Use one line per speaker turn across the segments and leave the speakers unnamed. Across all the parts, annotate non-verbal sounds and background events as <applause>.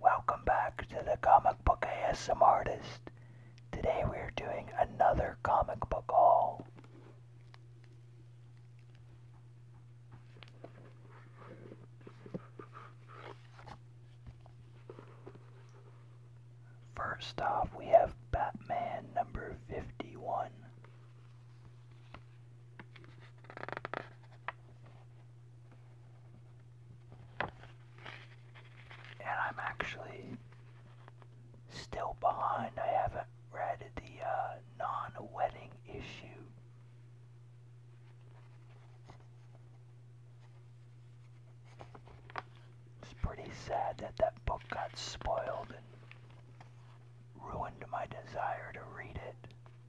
Welcome back to the Comic Book ASM Artist. Today we are doing another comic book haul. First off, we have Batman number 51. And I'm actually still behind. I haven't read the uh, non wedding issue. It's pretty sad that that book got spoiled and ruined my desire to read it.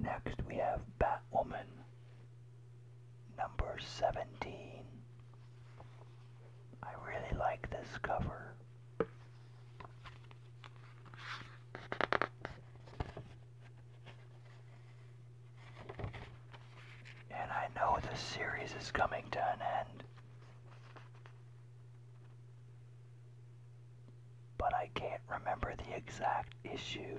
Next we have Batwoman Number 17. I really like this cover. And I know the series is coming to an end. But I can't remember the exact issue.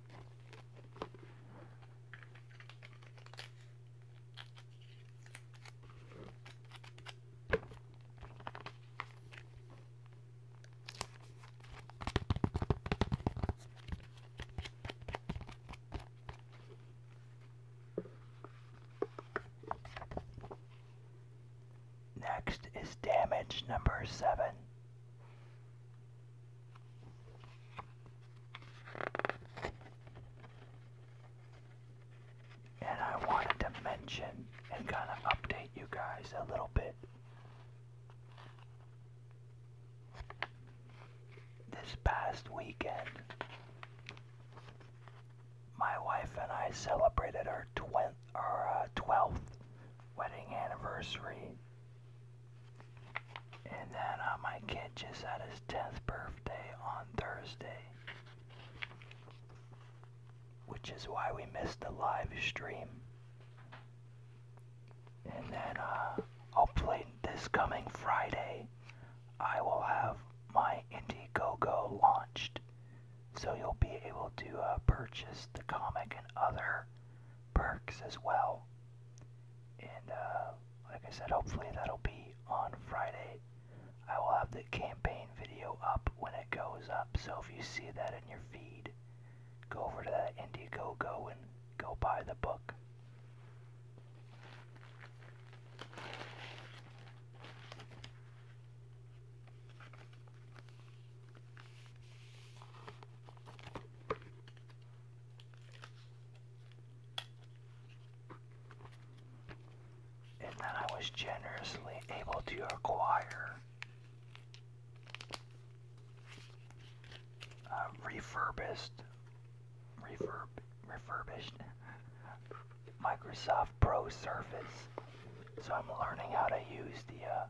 Next is damage number seven. And I wanted to mention and kind of update you guys a little bit. This past weekend, my wife and I celebrated our, 12th uh, wedding anniversary and then uh, my kid just had his 10th birthday on Thursday. Which is why we missed the live stream. And then uh, hopefully this coming Friday, I will have my Indiegogo launched. So you'll be able to uh, purchase the comic and other perks as well. And uh, like I said, hopefully that'll be on Friday. I will have the campaign video up when it goes up. So if you see that in your feed, go over to that Indiegogo and go buy the book. And then I was generously able to acquire uh, refurbished, refurb, refurbished <laughs> Microsoft Pro Surface. So I'm learning how to use the uh,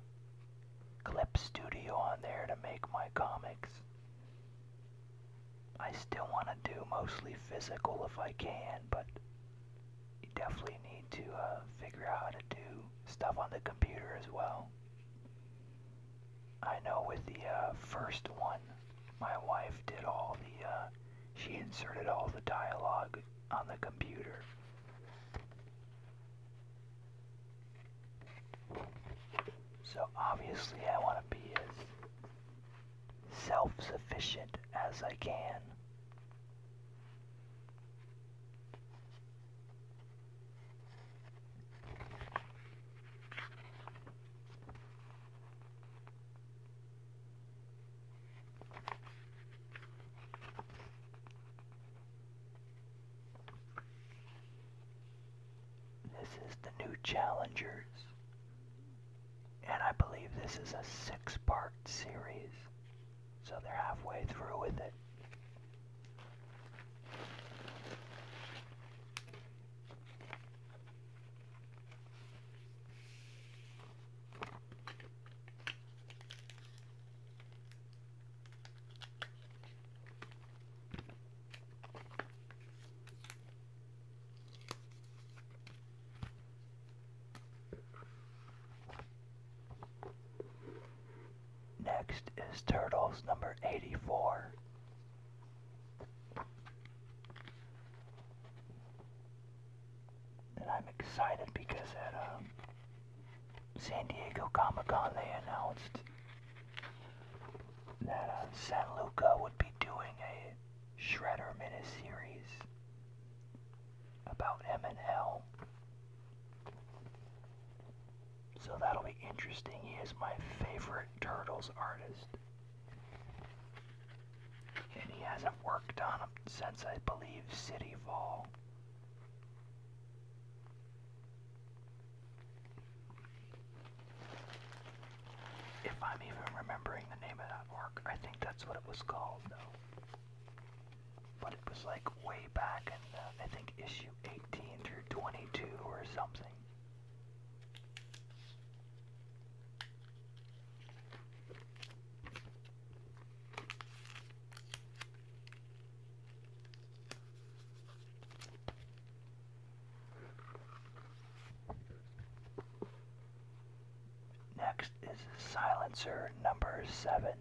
Clip Studio on there to make my comics. I still want to do mostly physical if I can, but you definitely need to uh, figure out how to do stuff on the computer as well. I know with the uh, first one, my wife did all the, uh, she inserted all the dialogue on the computer. So obviously I want to be as self-sufficient as I can. This is the new Challengers. And I believe this is a six part series. So they're halfway through with it. Next is Turtles number 84. And I'm excited because at um, San Diego Comic Con they announced uh, San Luca would be doing a Shredder miniseries about M and L, So that'll be interesting. He is my favorite Turtles artist. And he hasn't worked on them since, I believe, City Fall. If I'm even remembering the name of that work, I think that's what it was called, though. But it was like way back in, the, I think, issue 18 through 22 or something. Next is silencer number seven.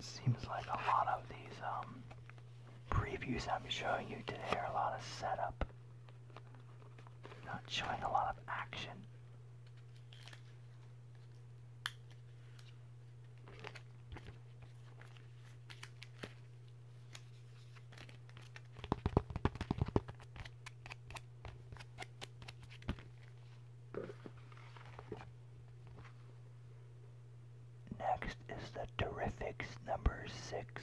Seems like a lot of these um, previews I'm showing you today are a lot of setup, not showing a lot of action. Next is the terrifics number six.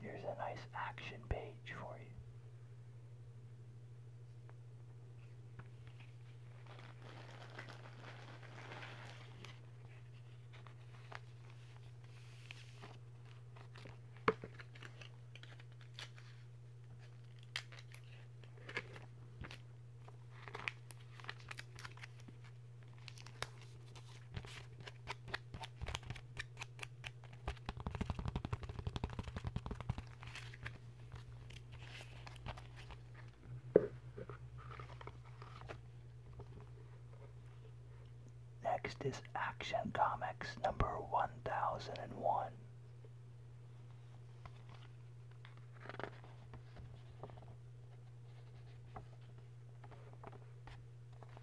Here's a nice action page for you. Next is Action Comics number 1001.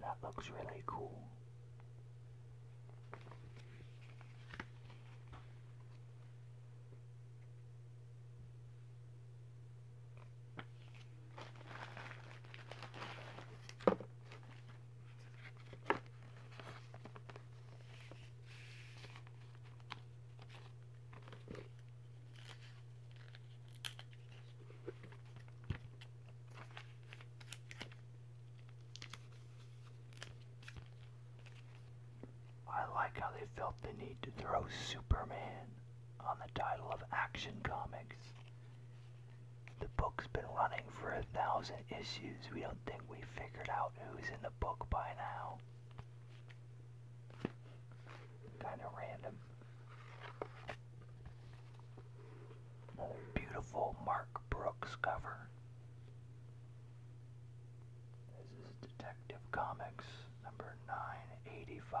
That looks really cool. I like how they felt the need to throw Superman on the title of Action Comics. The book's been running for a thousand issues. We don't think we figured out who's in the book by now. Kind of random. Another beautiful Mark Brooks cover. This is Detective Comics number 985.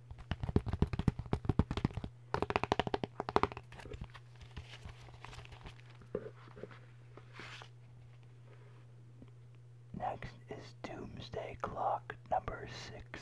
Next is Doomsday Clock number six.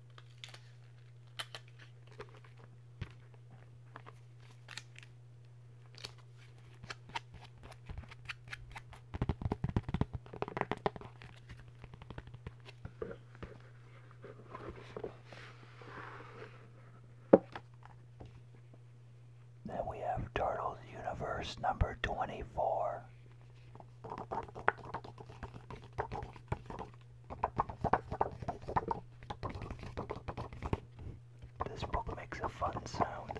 Then we have Turtles Universe number 24. This book makes a fun sound.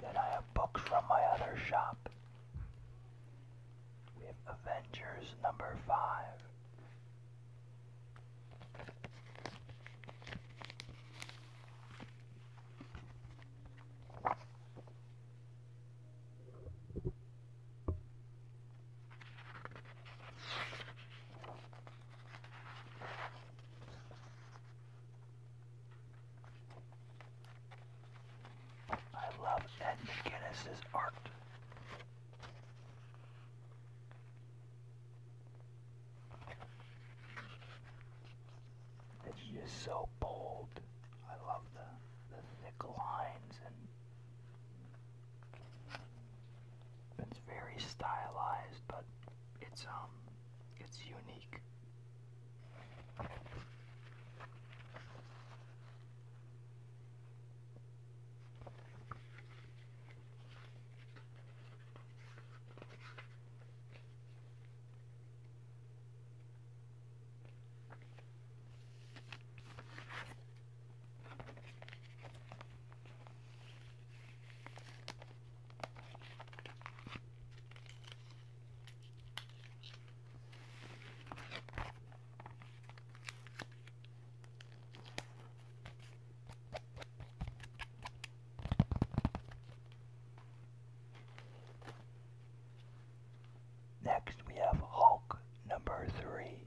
Then I have books from my other shop. We have Avengers number five. I love Ed McGuinness's art. It's just so bold. I love the the thick lines and it's very stylized, but it's um it's unique. Next, we have Hulk number three.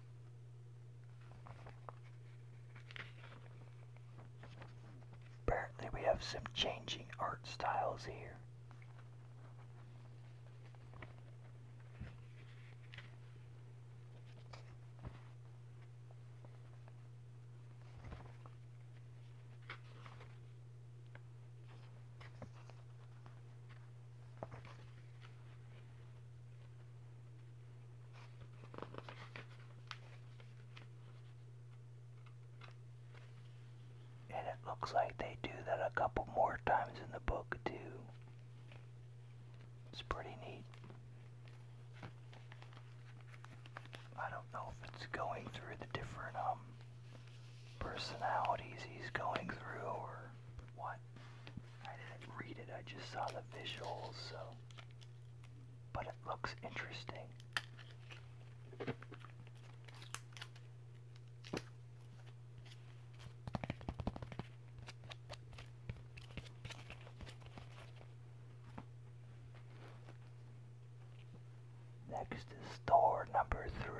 Apparently we have some changing art styles here. And it looks like they do that a couple more times in the book, too. It's pretty neat. I don't know if it's going through the different um, personalities he's going through or what. I didn't read it, I just saw the visuals, so but it looks interesting. Next is door number three.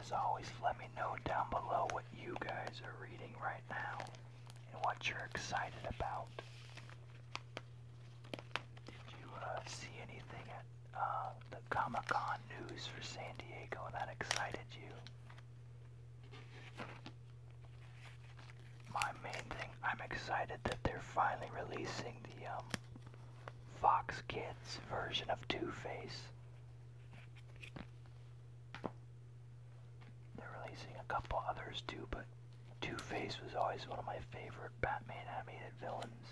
As always, let me know down below what you guys are reading right now and what you're excited about. Did you uh, see anything at uh, the Comic Con news for San Diego that excited you? My main thing, I'm excited that they're finally releasing the um, Fox Kids version of Two Face. They're releasing a couple others too, but Two Face was always one of my favorite Batman animated villains.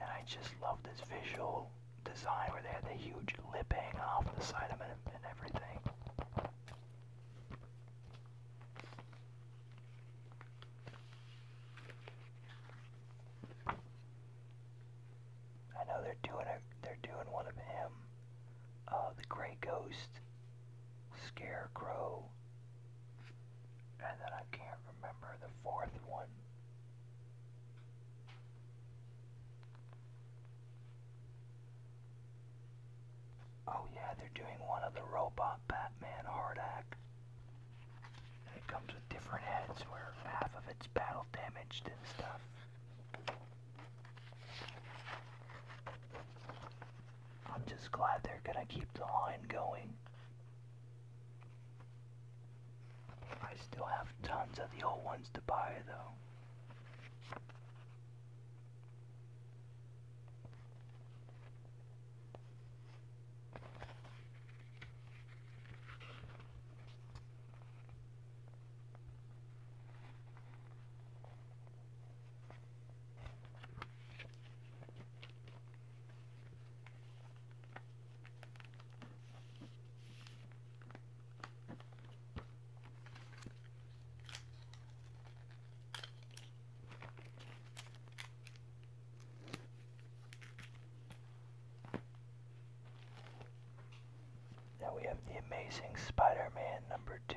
And I just love this visual design where they had the huge lip hanging off the side of it and everything. I know they're doing a, they're doing one of them. uh, the Grey Ghost, Scarecrow, and then I can't remember the fourth one. Oh yeah, they're doing one of the robot Batman hard act. it comes with different heads where half of it's battle damaged and stuff. I'm just glad they're gonna keep the line going. I still have tons of the old ones to buy, though. Now we have the amazing Spider-Man number two.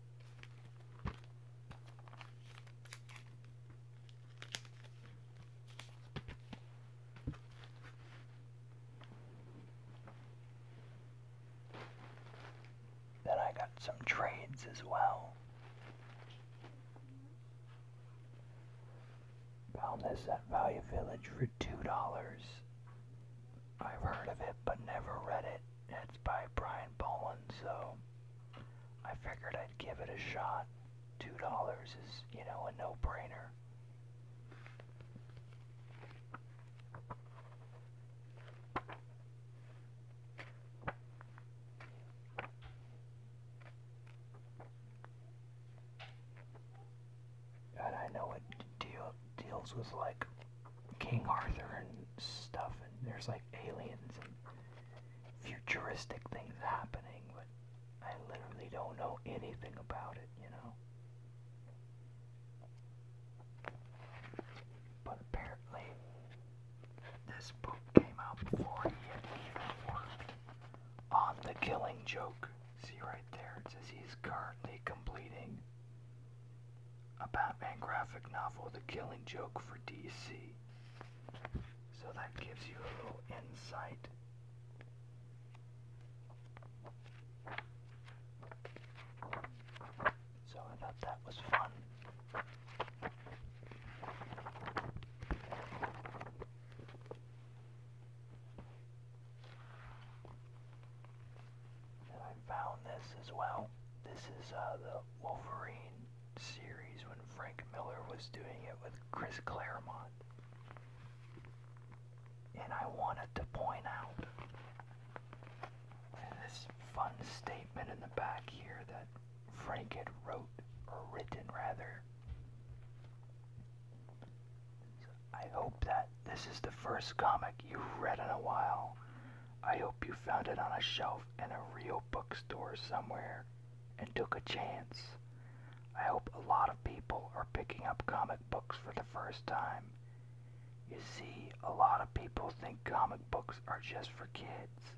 Then I got some trades as well. Found this at Value Village for $2. I've heard of it but never read it and it's by Brian Boland, so I figured I'd give it a shot. Two dollars is, you know, a no-brainer. And I know it deals with like King Arthur and stuff, and there's like aliens and futuristic things happening, but I literally don't know anything about it, you know? But apparently, this book came out before he had even worked on The Killing Joke. See right there, it says he's currently completing a Batman graphic novel, The Killing Joke for DC. So that gives you a little insight. So I thought that was fun. And I found this as well. This is uh, the Wolverine series when Frank Miller was doing it with Chris Claremont. And I wanted to point out this fun statement in the back here that Frank had wrote, or written rather. I hope that this is the first comic you've read in a while I hope you found it on a shelf in a real bookstore somewhere and took a chance. I hope a lot of people are picking up comic books for the first time. You see, a lot of people think comic books are just for kids,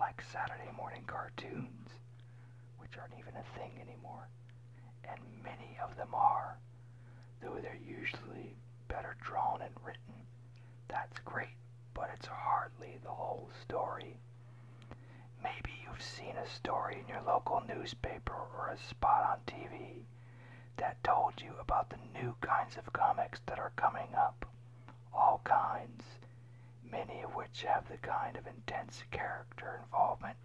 like Saturday morning cartoons, which aren't even a thing anymore, and many of them are, though they're usually better drawn and written. That's great but it's hardly the whole story. Maybe you've seen a story in your local newspaper or a spot on TV that told you about the new kinds of comics that are coming up. All kinds, many of which have the kind of intense character involvement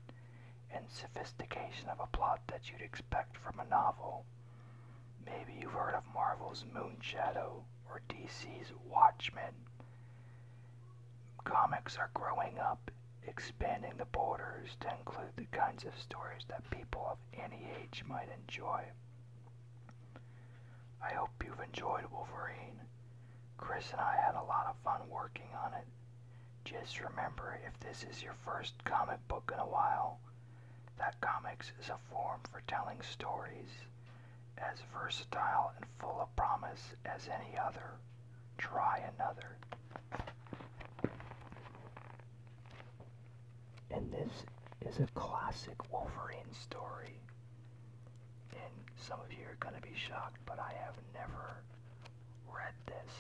and sophistication of a plot that you'd expect from a novel. Maybe you've heard of Marvel's Moonshadow or DC's Watchmen. Comics are growing up, expanding the borders to include the kinds of stories that people of any age might enjoy. I hope you've enjoyed Wolverine. Chris and I had a lot of fun working on it. Just remember if this is your first comic book in a while, that comics is a form for telling stories as versatile and full of promise as any other. Try another. And this is a classic Wolverine story. And some of you are going to be shocked, but I have never read this.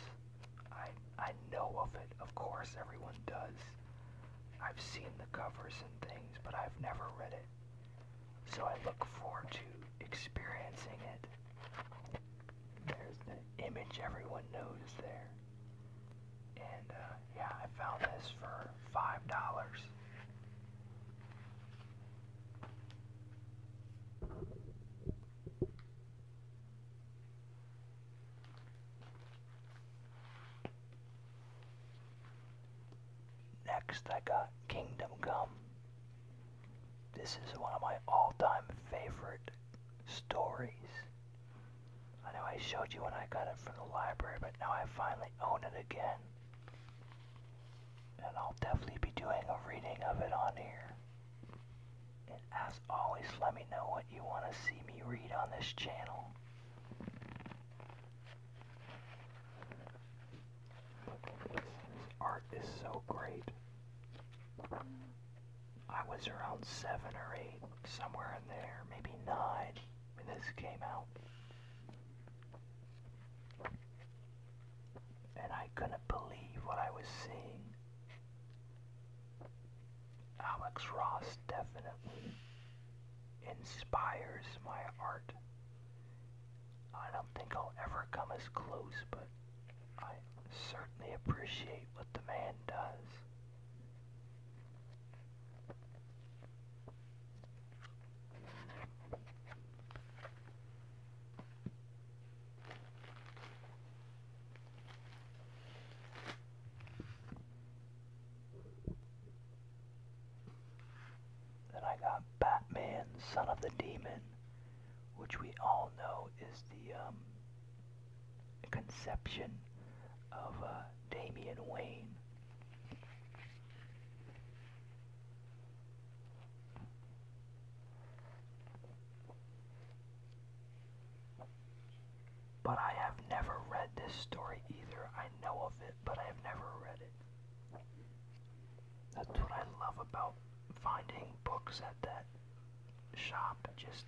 I, I know of it, of course, everyone does. I've seen the covers and things, but I've never read it. So I look forward to experiencing it. There's the image everyone knows is there. And uh, yeah, I found this for five dollars. Next, I got Kingdom Come. This is one of my all time favorite stories. I know I showed you when I got it from the library, but now I finally own it again. And I'll definitely be doing a reading of it on here. And as always, let me know what you want to see me read on this channel. This, art is so great. I was around seven or eight, somewhere in there, maybe nine, when this came out. And I couldn't believe what I was seeing. Alex Ross definitely inspires my art. I don't think I'll ever come as close, but I certainly appreciate what the man does. Then I got Batman, Son of the Demon, which we all know is the um, conception of uh, Damian Wayne. But I have never read this story either. I know of it, but I have never read it. That's what I love about finding books at that shop. Just,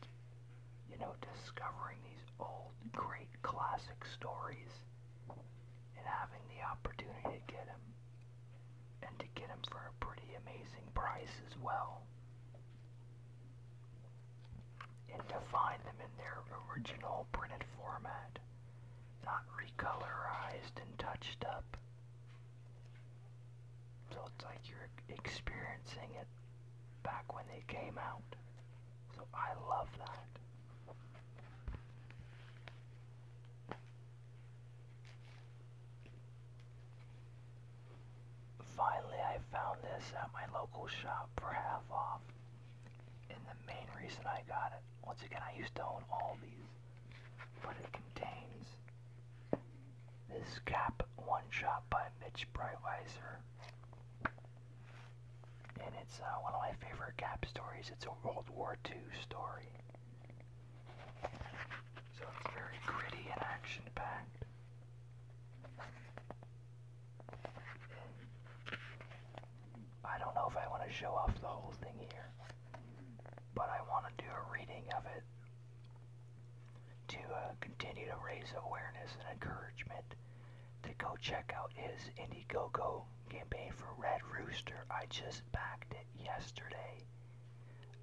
you know, discovering these old, great classic stories and having the opportunity to get them. And to get them for a pretty amazing price as well and to find them in their original printed format, not recolorized and touched up. So it's like you're experiencing it back when they came out. So I love that. Finally, I found this at my local shop for half off. And the main reason I got it, once again, I used to own all these, but it contains this cap one shot by Mitch Breitweiser. And it's uh, one of my favorite cap stories. It's a World War II story. So it's very gritty and action packed. I don't know if I want to show off the whole thing here, but I want to do a reading of it to uh, continue to raise awareness and encouragement to go check out his Indiegogo campaign for Red Rooster. I just backed it yesterday.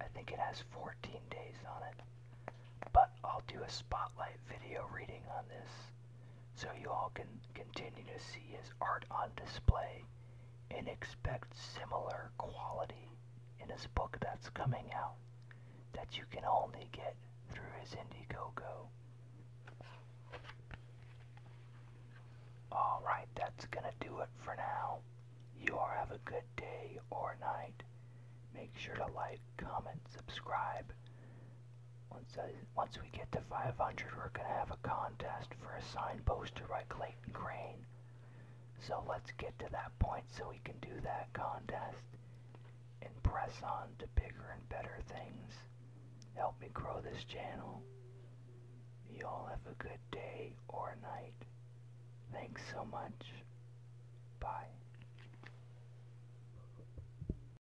I think it has 14 days on it, but I'll do a spotlight video reading on this so you all can continue to see his art on display and expect similar quality in his book that's coming out that you can only get through his Indiegogo. Alright, that's gonna do it for now. You all have a good day or night. Make sure to like, comment, subscribe, once, once we get to 500, we're going to have a contest for a signed poster by Clayton Crane. So let's get to that point so we can do that contest and press on to bigger and better things. Help me grow this channel. You all have a good day or night. Thanks so much. Bye.